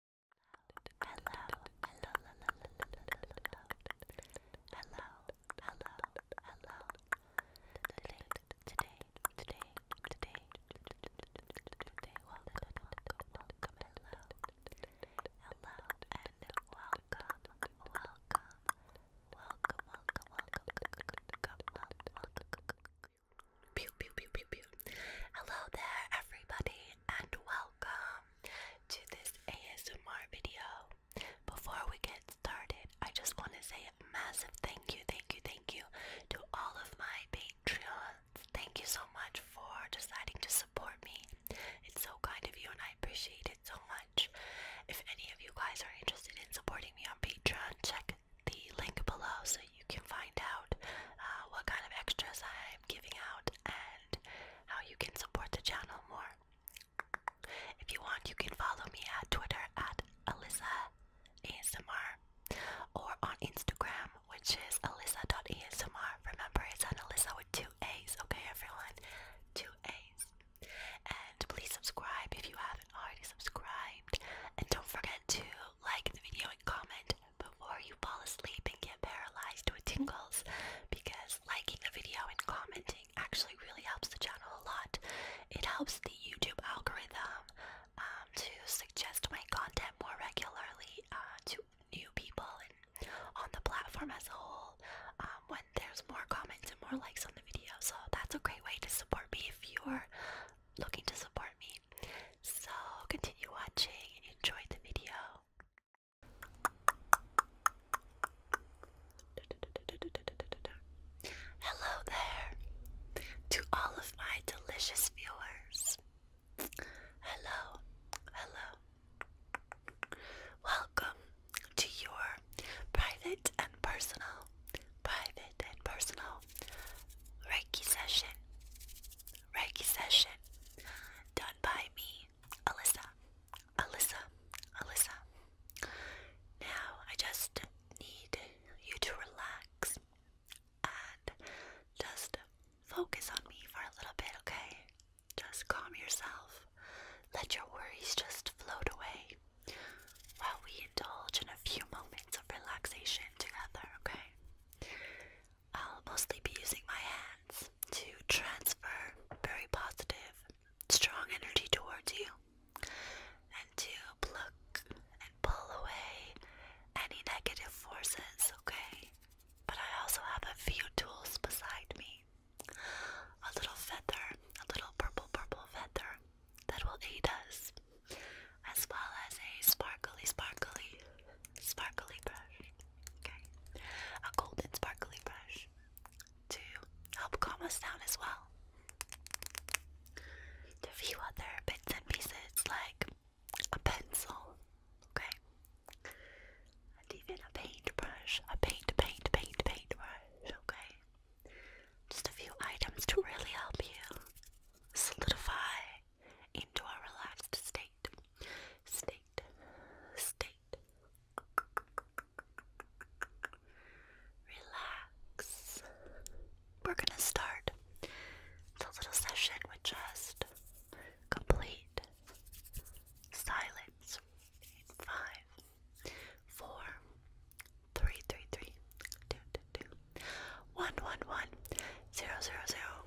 welcome, welcome, welcome, welcome, welcome, Pew, pew, pew, pew, pew. Hello there, everybody and welcome to this ASMR video. Before we get started, I just want to say a massive thank you, thank you, thank you to all of my Patreons. Thank you so much for deciding to support me. It's so kind of you and I appreciate it so much. If any of you guys are interested in supporting me on Patreon, check the link below so you can find out uh, what kind of extras I giving out and how you can support the channel more. If you want, you can follow me at Twitter at Alyssa ASMR or on Instagram, which is Alyssa.ASMR. Remember, it's an Alyssa with two A's, okay, everyone? Two A's. And please subscribe if you haven't already subscribed. And don't forget to like the video and comment before you fall asleep and get paralyzed with tingles because liking a video and commenting actually really helps the channel a lot. It helps the YouTube algorithm um, to suggest my content more regularly uh, to new people and on the platform as a whole um, when there's more comments and more likes on the video. So that's a great way to support me if you're looking to support me. So continue watching and enjoy the video. Hello there to all of my delicious viewers. Hello, hello. Welcome to your private and personal, private and personal Reiki session. Reiki session done by me, Alyssa. Alyssa, Alyssa. Now I just need you to relax and just focus on me for a little bit, okay? Just calm yourself. Let your worries just float away while we indulge in a few moments of relaxation together, okay? I'll mostly be using my hands to transfer very positive, strong energy towards you and to pluck and pull away any negative forces, okay? But I also have a few tools beside me a little feather, a little purple, purple feather that will aid us, as well as a sparkly, sparkly sparkly brush. Okay, a golden sparkly brush to help calm us down as well. A few other bits and pieces like a pencil, okay, and even a paintbrush, a paint, paint, paint, paintbrush, okay. Just a few items to really help you solidify into a relaxed state. State. State. Relax. We're going to start the little session with just complete silence five, four, three, three, three, two, two, two, one, one, one, zero, zero, zero,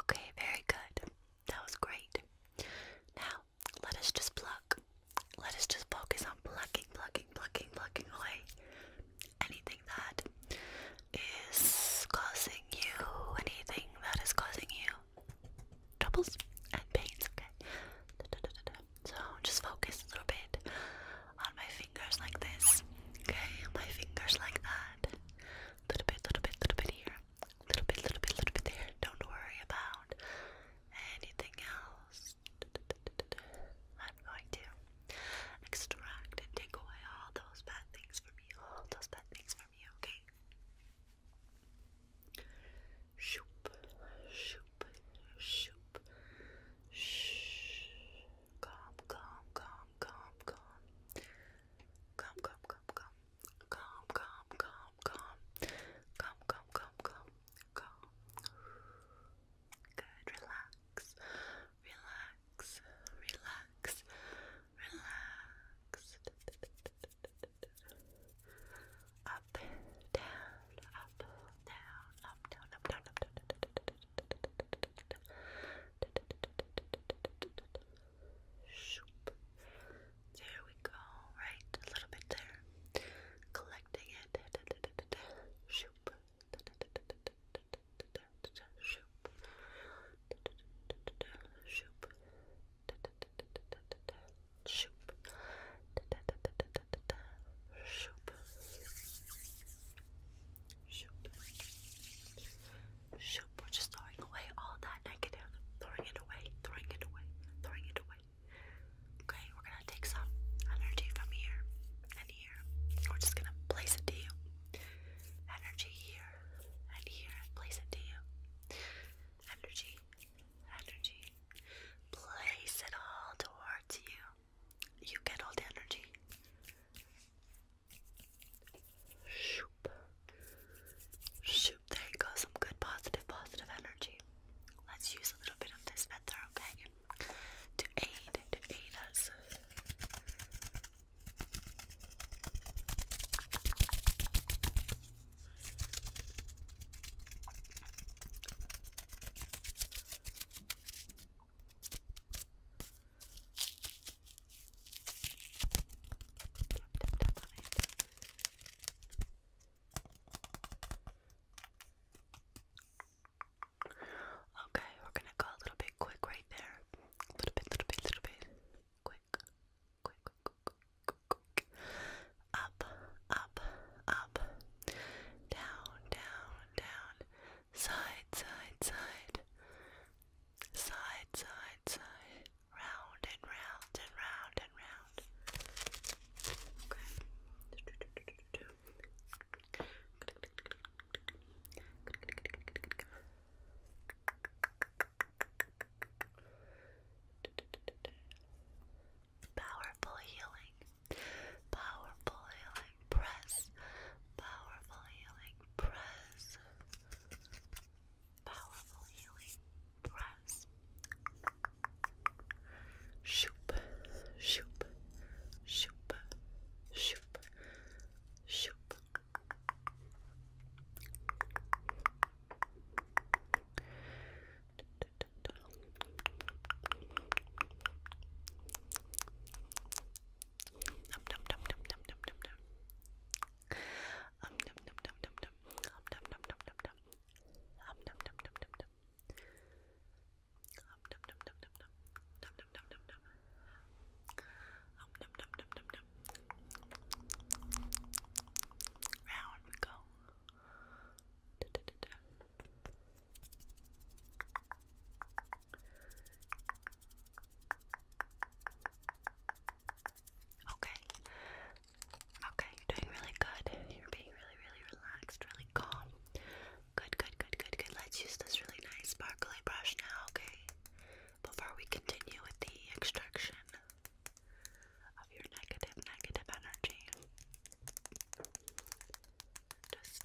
Okay, very good. That was great. Now, let us just pluck. Let us just focus on plucking, plucking, plucking, plucking away anything that is causing you, anything that is causing you troubles and pains, okay? So just focus a little bit on my fingers like this. Okay, my fingers like that. Little bit, little bit, little bit here. Little bit, little bit, little bit there. Don't worry about anything else. I'm going to extract and take away all those bad things from you. All those bad things from you, okay? Shoop, shoop shoop, shoop, shh. Calm, calm, calm, calm, calm. Calm, calm, calm, calm. Calm, calm, calm, calm. Calm, calm, calm, calm, calm. Good, relax, relax, relax, relax. Up, down, up, down up, there we go, right, a little bit there, collecting it, shoop, shoop, shoop, shoop, Shoop. Shoop. Shoop. We're just throwing away all that negative. Throwing it away. Throwing it away. Throwing it away. Okay, we're gonna take some energy from here and here. We're just gonna place it to you. Energy here and here. Place it to you. Energy. Energy. Place it all towards you you get all the energy. Shoop. Shoop. There you Some good positive, positive energy. Let's use a little bit of this method, okay? To aid, to aid us. Okay, we're gonna go a little bit quick right there. A little bit, little bit, little bit. quick, quick, quick, quick, quick. Up, up, up. Down, down, down, side, side, side, side, side, side, round and round and round and round. Okay. Powerful healing. Powerful healing press. Powerful healing press. Powerful healing press. Shoop, shoop, shoop, shoop, shoop. Round we go. Da, da, da, da. Okay. Okay, doing really good. You're being really, really relaxed, really calm. Good, good, good, good, good. Let's use this really nice sparkly brush now, okay? Before we continue with the extraction of your negative, negative energy. Just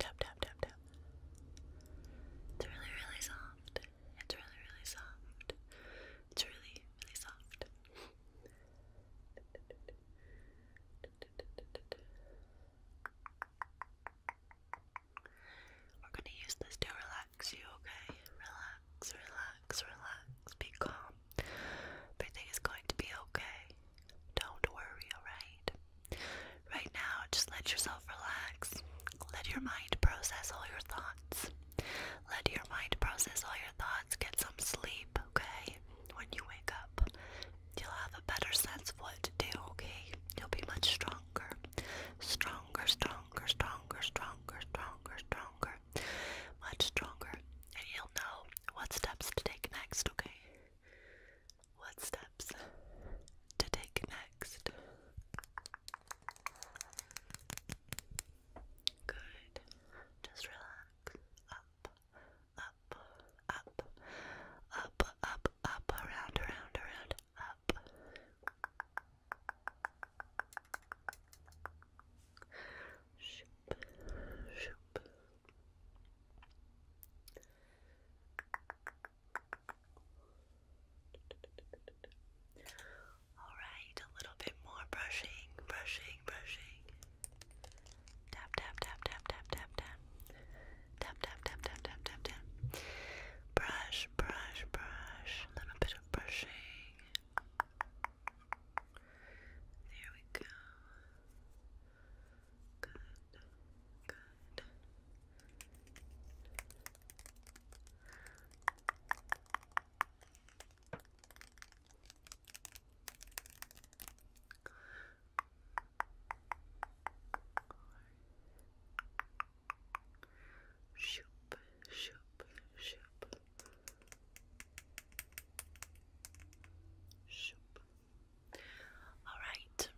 Tap, tap, tap, tap. It's really, really soft. It's really, really soft. It's really, really soft. We're gonna use this to relax you, okay? Relax, relax, relax. Be calm. Everything is going to be okay. Don't worry, alright? Right now, just let yourself relax. Let your mind process all your thoughts. Let your mind process all your thoughts. Get some sleep, okay? When you wake up, you'll have a better sense of what to do, okay? You'll be much stronger. Stronger, stronger, stronger, stronger, stronger, stronger. Much stronger. And you'll know what steps to take next, okay? what steps to take next. Good. Just relax. Up, up, up, up, up, up, around, around, around, up. Shoop, shoop. Alright, a little bit more brushing, brushing, brushing. Tap, tap, tap, tap, tap, tap, tap. Tap, tap, tap, tap, tap, tap, tap. Brush, brush, brush. A little bit of brushing. There we go. Good, good. Shoop, shoop, shoop. Shoop. All right.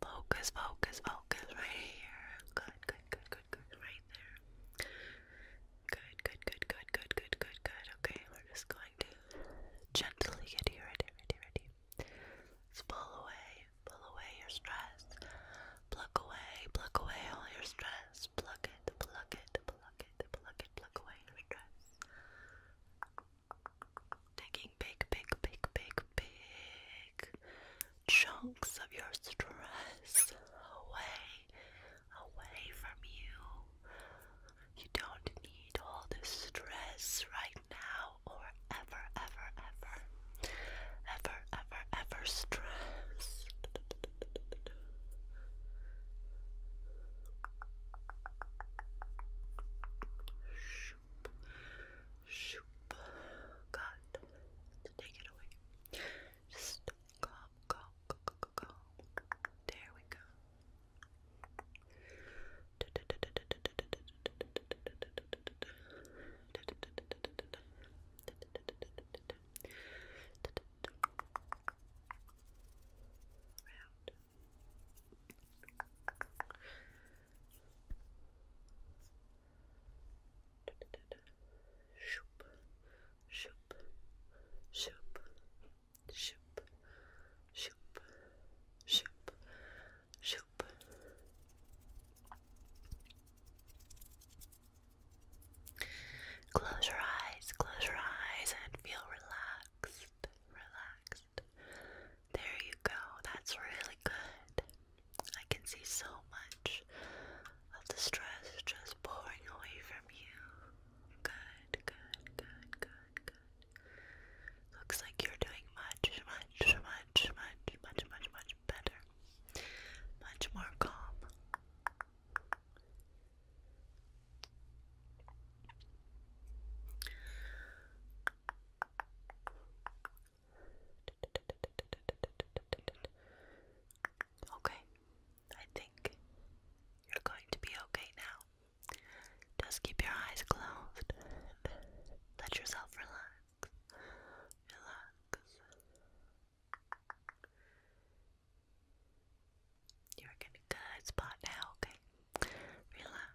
Focus, focus, focus right here. Good, good, good, good, good, right there. Good, good, good, good, good, good, good, good. Okay, we're just going to gently get you ready, ready, ready. Let's pull away, pull away your stress. Pluck away, pluck away all your stress. Pluck it, pluck it, pluck it, pluck it, pluck away your stress. Taking big, big, big, big, big chunks of your stress away, away from you. You don't need all this stress right now or ever, ever, ever, ever, ever, ever stress. Shoop. God, take it away. Just calm, calm, calm, calm. There we go. Shoop, shoop, shoop, shoop, shoop, shoop, shoop. Close your eyes, close your eyes, and feel relaxed, relaxed, there you go. That's really good. I can see so much of the stress just pouring away from you. Good, good, good, good, good. Looks like you're doing much, much, much, much, much, much, much better. Much more calm. Okay, I think you're going to be okay now. Just keep your eyes closed. Let yourself relax. Relax. You're in a good spot now, okay? Relax